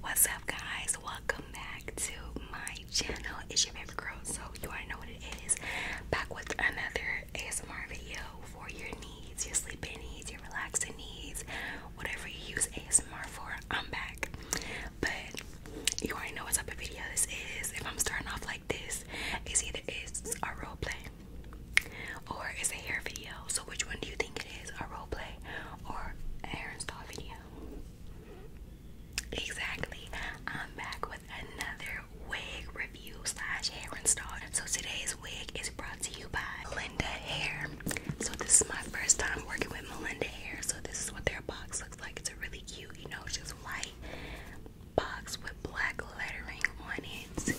What's up guys? Welcome back to my channel. It's your favorite girl, so you already know what it is. Back with another ASMR video for your you your sleeping needs, You your relaxing needs, whatever you use ASMR for, I'm back. But you already know what type of video this is. If I'm starting off like this, it's either it's a role or it's a hair video. So which one do you think it is? A role or hair install video? Exactly. I'm back with another wig review slash hair install. So today's wig is brought to you by Melinda Hair. So this is my first time working with Melinda Hair. So this is what their box looks like. It's a really cute, you know, just white box with black lettering on it.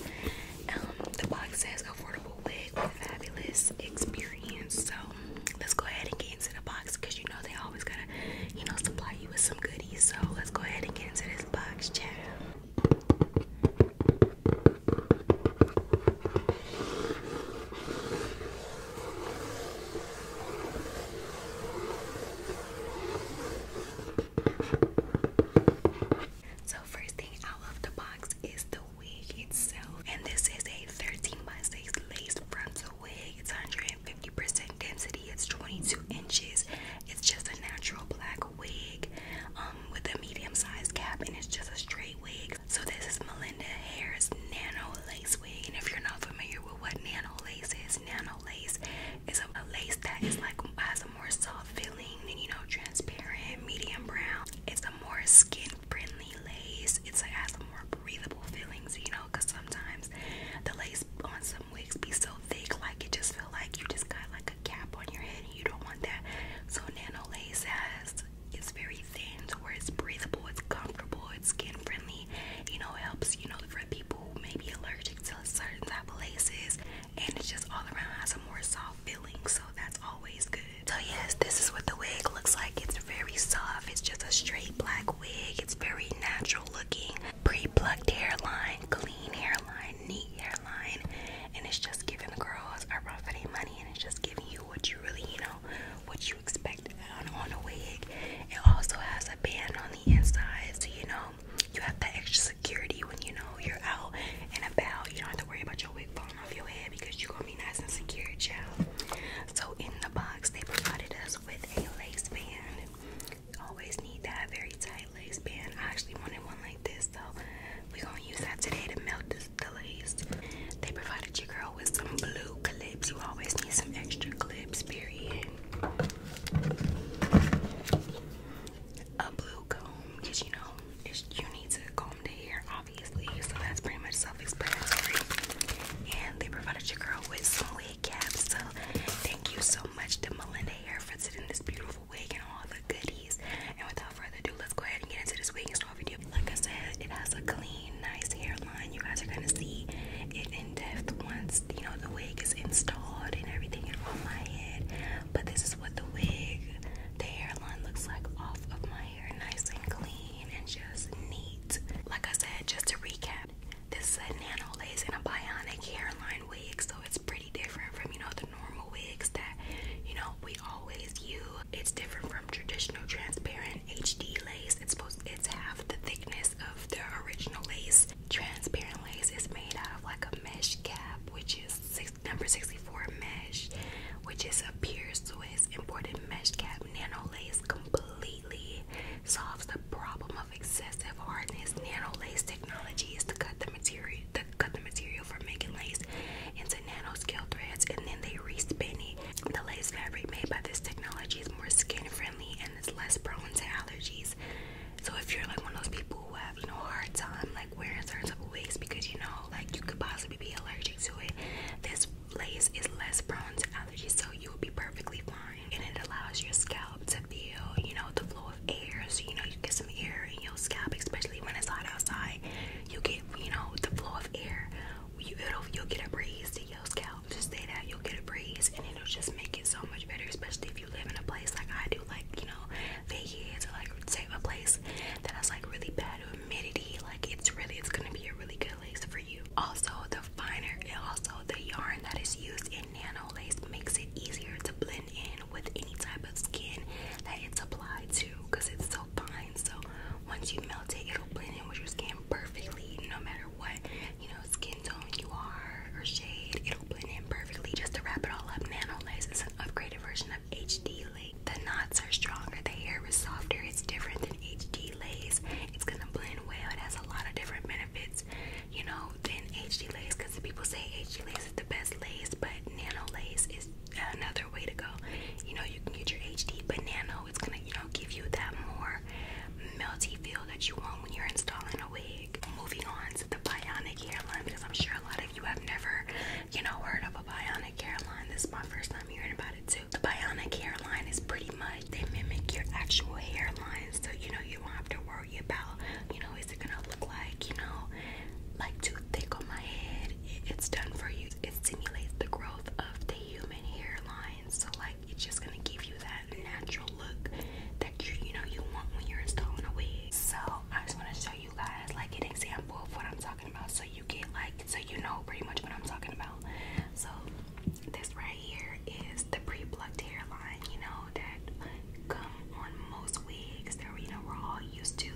Um, the box says affordable wig with fabulous experience. So let's go ahead and get into the box because you know they always gotta, you know, supply you with some goodies. So let's go ahead and get into this box, champ. So first thing out of the box is the wig itself, and this is a 13 by 6 lace frontal wig. It's 150% density. It's 22 inches. It's just a natural black wig um, with a medium-sized cap and it's just a straight wig. So this is Melinda Hare's Nano Lace Wig. And if you're not familiar with what Nano Lace is, Nano Lace is a, lace that is like, has a more soft feeling and you know, transparent, medium brown. It's a more skin-friendly lace. It's, like has a more breathable feeling, you know, because sometimes the lace on some wigs be so thick, like it just feel like you just got like a cap on your head, and you don't want that. So Nano Lace has it's very thin, to it's breathable, it's comfortable, it's skin friendly. You know, helps you know for people who allergic to certain type of laces, and it just all around has a more soft feeling. So that's always good. So yes, this is what the wig looks like. It's very soft. It's just a straight black wig. It's very natural looking pre-plucked hairline, clean hairline, neat hairline, and it's just giving the girls a run for their money, and it's just giving you what you really, you know, what you expect on, on a wig. It also has a band on the inside, so you know you have that extra security when you know you're out and about. You don't have to worry about your wig falling off your head because you're gonna be nice and secure, child. So in the box, they provided us with a lace band always need that very tight lace band. I actually wanted one like this, so we're gonna use that today to melt the lace. They provided your girl with some blue clips. You always need some extra clips, period. A blue comb, because you know, it's, you need to comb the hair, obviously, so that's pretty much self explanatory. And they provided your girl with some so thank you so much to Melinda Hair for sitting this beautiful wig and all the goodies. And without further ado, let's go ahead and get into this wig and store video. Like I said, it has a clean, nice hairline. You guys are gonna see it in depth once you know the wig is installed and everything is on my head. But this is what the wig, the hairline looks like off of my hair, nice and clean and just neat. Like I said, just to recap, this is a nano lace and a bionic hairline wig, so it's pretty different from you know the normal wigs that you know we always use. It's different from traditional transparent HD lace. It's supposed it's half the thickness of the original lace. Transparent lace is made out of like a mesh cap, which is number 64 mesh, which is a pure Swiss imported mesh cap nano lace completely solves the problem of excessive hardness, nano lace technology is to cut the material to cut the material for making lace into nano scale threads and then they re-spin it. The lace fabric made by this technology is more skin friendly and is less prone to allergies. So if you're like one of those people who have, you know, hard time like wearing certain types of wigs because you know like you could possibly be allergic to it, this lace is less prone to allergies, so you will be perfectly fine and it allows your scalp to feel, you know, the flow of air. So, you know, you get some air in your scalp, especially when it's hot outside. You get, you know, the flow of air. You, it you'll get a breeze to your scalp. Just say that you'll get a breeze and it'll just make it so much better, especially if you live in a place like I do, like, you know, Vegas or like say a place that has like really bad humidity. Like it's really, it's gonna be a really good lace for you. Also the finer, and also the yarn that is used in in nano lace makes it easier to blend in with any type of skin that it's applied to because it's so fine. So once you melt it, it'll blend in with your skin perfectly, no matter what you know skin tone you are or shade. It'll blend in perfectly. Just to wrap it all up, nano lace is an upgraded version of HD lace. The knots are stronger, the hair is softer. It's different than HD lace. It's gonna blend well. It has a lot of different benefits you know, then HD lace because people say HD lace is the best lace, but nano lace is another way to go. You know, you can get your HD, but nano it's gonna, you know, give you that more melty feel that you want when you're installing a wig. Moving on to the bionic hairline because I'm sure a lot of you have never, you know, heard of a bionic hairline. This is my first time hearing about it too. The bionic hairline is pretty much they mimic your actual hairline, so you know you don't have to worry about, you know, is it gonna look like, you know, like too thick on my head? It's done for you. It stimulates the growth of the human hairline, so like it's just gonna give you that natural look that you you know you want when you're installing a wig. So I just want to show you guys like an example of what I'm talking about, so you get like so you know pretty much what I'm talking about. So this right here is the pre-plucked hairline, you know, that come on most wigs that you know we're all used to,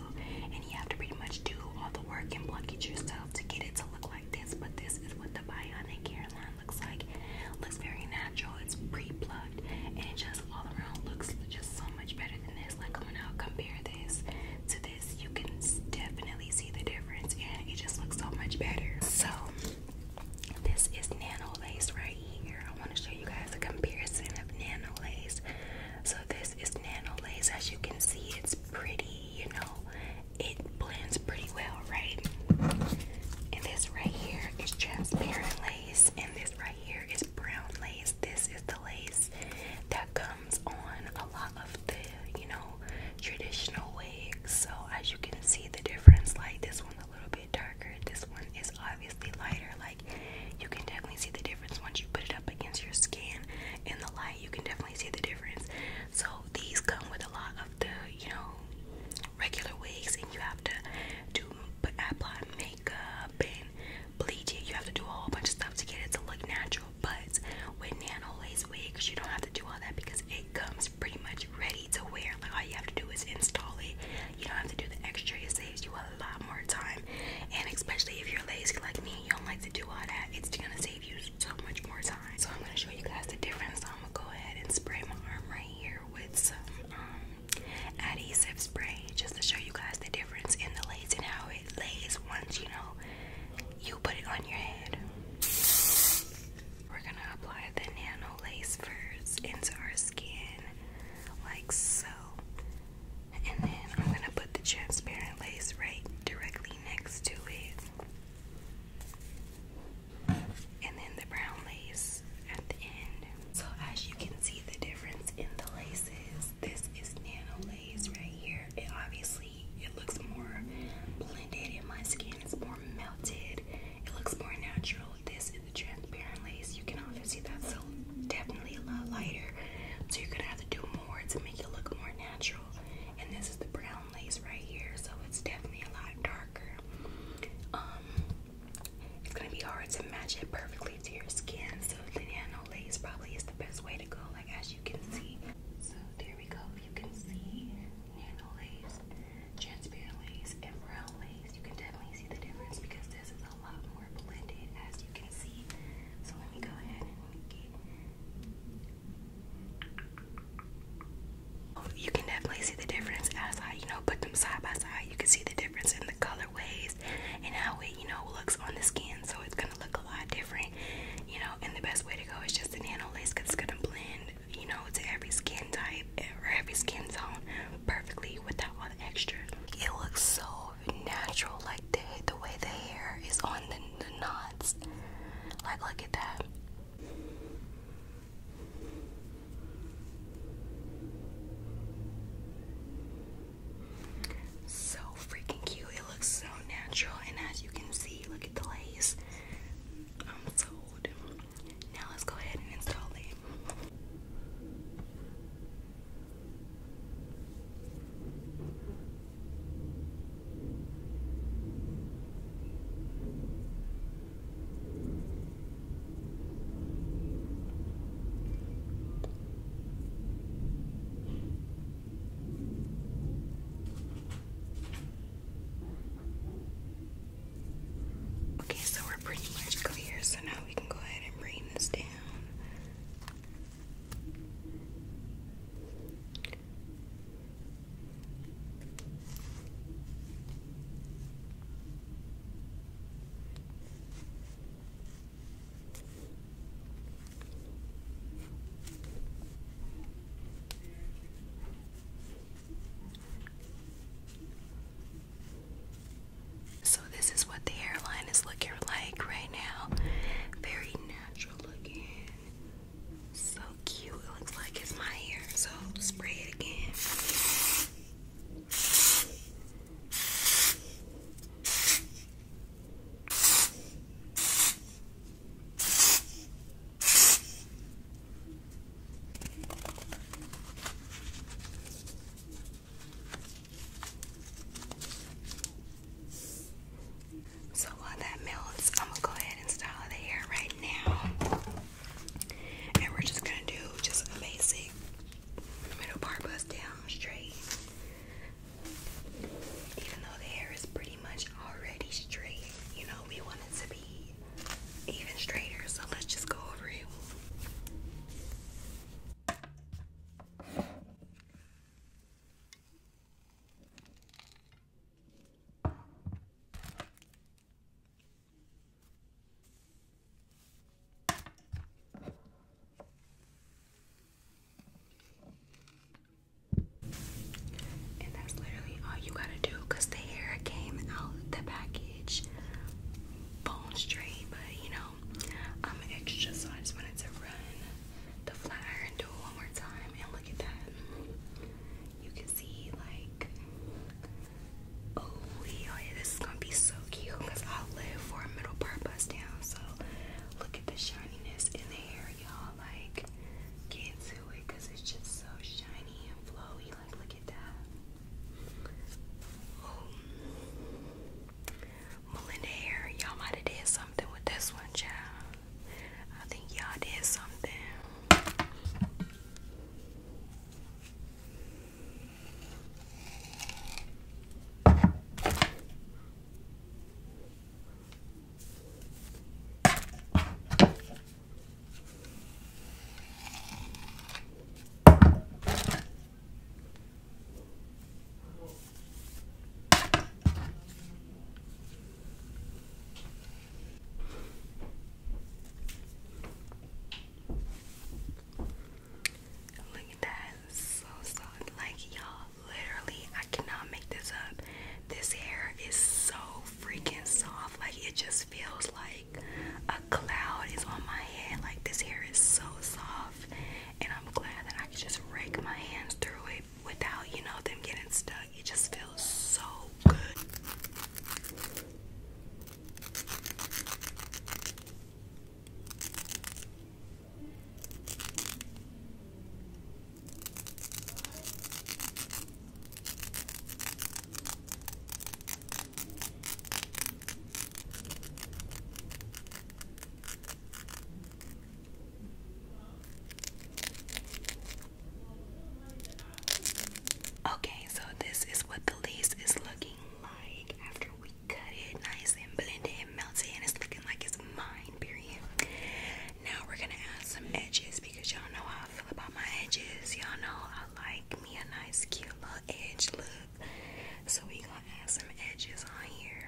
and you have to pretty much do all the work and pluck it yourself to get it to look like this. But this is what the bionic hairline looks like. looks very natural. It's pre-plucked, and it just all around looks just so much better than this. Like when I compare this to this, you can definitely see the difference, and it just looks so much better. So this is Nano Lace right here. I want to show you guys a comparison of Nano Lace. So this is Nano Lace. As you can see, it's pretty, you know, it blends pretty well, right? And this right here is transparent lace, and this right here is brown lace. This is the lace that comes on a lot of the, you know, traditional wigs. So as you can see the difference, like this one's a little bit darker, this one is obviously lighter. Like you can definitely see the difference once you put it up against your skin in the light. You can definitely see the difference. So these come with a lot of the, you know, regular wigs, and you have to do apply makeup and bleach it. You have to do a whole bunch of stuff to get it to look natural. But with nano lace wigs, you don't have to do all that because it comes pretty much ready ready to wear. Like all you have to do is install it. You don't have to do the extra. It saves you a lot more time. And especially if you're lazy like me, you don't like to do all that. It's gonna save you so much more time. So I'm gonna show you guys the difference. So I'm gonna go ahead and spray my arm right here with some um, adhesive spray just to show you guys the difference in the lace and how it lays once you know you put it on your head. We're gonna apply the nano lace first into our skin, like so. And then I'm gonna put the transparent lace right directly next to it. And then the brown lace at the end. So, as you can see, the difference in the laces, this is nano lace right here. It obviously it looks more blended in my skin. It's more melted. It looks more natural. This is a transparent lace. You can obviously see that's so definitely a lot lighter. So you're gonna have to do more to make it look more natural. And this is the brown lace right here, so it's definitely a lot darker. Um, it's gonna be hard to match it perfectly to your skin. So the nano lace probably is the best way to go. Like as you can see. So there we go. You can see nano lace, transparent lace, and lace. You can definitely see the difference because this is a lot more blended, as you can see. So let me go ahead and make it. Oh, you can definitely see the difference as I, you know, put them side by side. You can see the difference in the colorways and how it, you know, looks on the skin. So it's gonna look a lot different you know. And the best way to go is just a nano lace because it's gonna blend, you know, to every skin type or every skin tone perfectly without all extra. It looks so natural, like the the way the hair is on the, the knots. Like, look at that. So freaking cute. It looks so natural, and as you can see, look at the lace. I'm sold. Now let's go ahead and install it. Okay, so we're pretty much clear, so now we can go ahead and bring this down. So, this is what the hairline is looking like right now. Very natural looking. So cute. looks like it's my hair. So, spray it again. So while that melts, I'm gonna go ahead and style the hair right now. And we're just gonna do just a middle part bust down straight. Even though the hair is pretty much already straight, you know, we want it to be even straighter, so let's just go over it. And that's literally all you gotta do because the hair came out the package bone straight, but you know, I'm extra, so I just wanted to run the flat iron do it one more time. And look at that. You can see, like, oh, yeah, this is gonna be so cute because I live for a middle part bust down. So, look at the shininess in the hair y'all like get to it it's just so shiny and flowy like look at that Ooh. Melinda hair y'all might have did something with this one child I think y'all did something Look at that, so soft, like y'all literally, I cannot make this up. This hair is so freaking soft. Like, it just feels like a cloud is on my head. Like, this hair is so soft. And I'm glad that I can just rake my hands through it without, you know, them getting stuck. It just feels so good. Okay, so this is what the lease is looking like after we cut it nice and blend it and melt it and it's looking like it's mine, period. Now we're gonna add some edges because y'all know how I feel about my edges. Y'all know I like me a nice cute little edge look. So we gonna add some edges on here.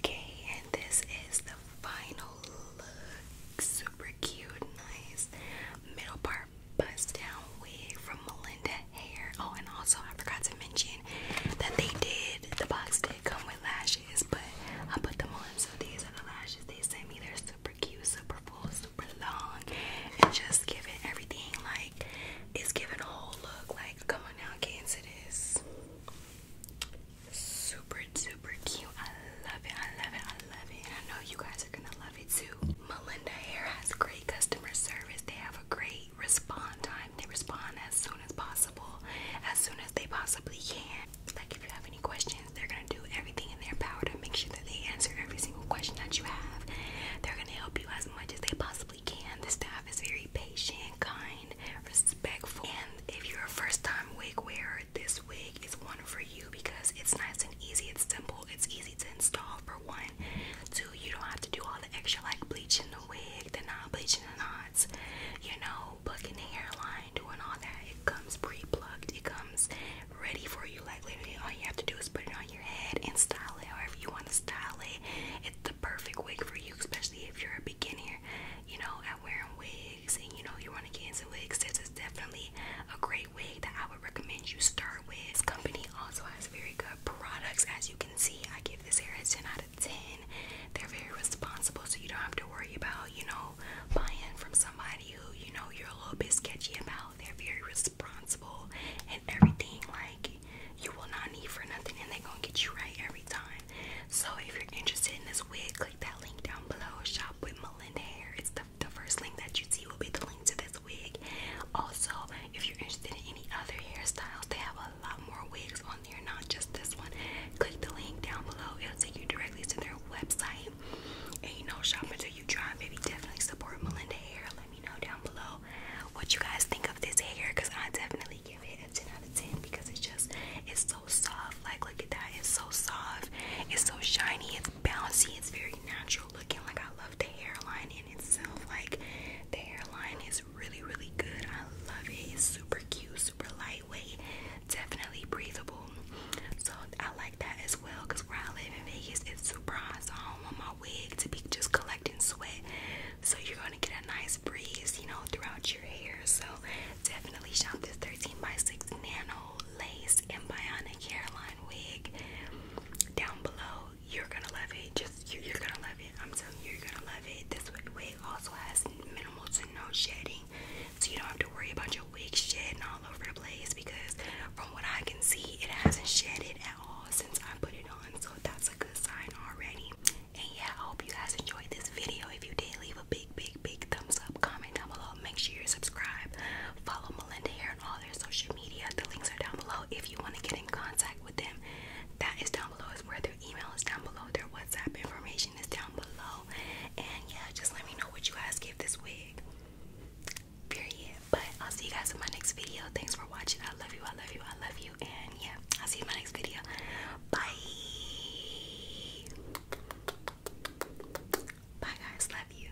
Okay, and this is the final look. Super cute, nice middle part bust down wig from Melinda Hair. Oh, and also I forgot to mention that they did. The box did come with lashes, but I put them on. So these are the lashes they sent me. They're super cute, super full, super long, and just giving everything like it's giving a whole look. Like, come on now, get into this. Super, super cute. I love it. I love it. I love it. I know you guys are gonna love it too. Melinda Hair has great customer service. They have a great respond time. They respond as soon as possible, as soon as they possibly can. Like if you have any questions, they're gonna do everything in their power to make sure that they answer every single question that you have. They're gonna help you as much as they possibly can. The staff is very patient, kind, respectful. And if you're a first-time wig wearer, this wig is one for you because it's nice and easy, it's simple, it's easy to install for one. Two, you don't have to do all the extra like bleaching the wig the knot, bleaching the knots, you know, booking the hairline, doing all that. It comes pre-plucked. It comes ready for you. Like literally, all you have to do is put it on your head and style it however you want to style it. It's the perfect wig for you, especially if you're a beginner, you know, at wearing wigs and you know you want to get into wigs. This is definitely a great wig that I would recommend you start with. This company also has very good products, as you can see. I give this hair a 10 out of 10. They're very responsible, so you don't have to worry about, you know, buying from somebody who, you know, you're a little bit sketchy about. They're very responsible and everything, like, you will not need for nothing, and they're gonna get you right every time. So, if you're interested in this wig, click that link down below. Shop with Melinda Hair. It's the, the first link that you see will be the link to this wig. Also, if you're interested in any other hairstyles, they have a a lot more wigs on there, not just this one. Click the link down below, it'll take you directly to their website. And you know, shop until you try, maybe definitely support Melinda Hair. Let me know down below what you guys think of this hair because I definitely give it a 10 out of 10 because it's just it's so soft. Like, look at that, it's so soft, it's so shiny, it's bouncy, it's very natural looking. Like, I love the hairline in itself, like, the hairline is really, really good. I love it. It's super cute, super lightweight, definitely breathable. So I like that as well because where I live in Vegas, it's super hot. So I don't want my wig to be just collecting sweat. So you're gonna get a nice breeze, you know, throughout your hair. So definitely shop this 13 by 6 nano lace and bionic hairline wig down below you're gonna love it. Just you, are gonna love it. I'm telling you, you're gonna love it. This wig also has minimal to no shedding, so you don't have to worry about your wig shedding all over the place. Because from what I can see, it hasn't shedded at all since I put it on, so that's a good sign already. And yeah, I hope you guys enjoyed this video. If you did, leave a big, big, big thumbs up, comment down below. Make sure you subscribe, follow Melinda here and all their social media. The links are down below if you want to get in contact with them, that is down below. Is where their email is down below, their WhatsApp information is down below. And yeah, just let me know what you guys give this wig. Period. But I'll see you guys in my next video. Thanks for watching. I love you. I love you. I love you. And yeah, I'll see you in my next video. Bye. Bye guys. Love you.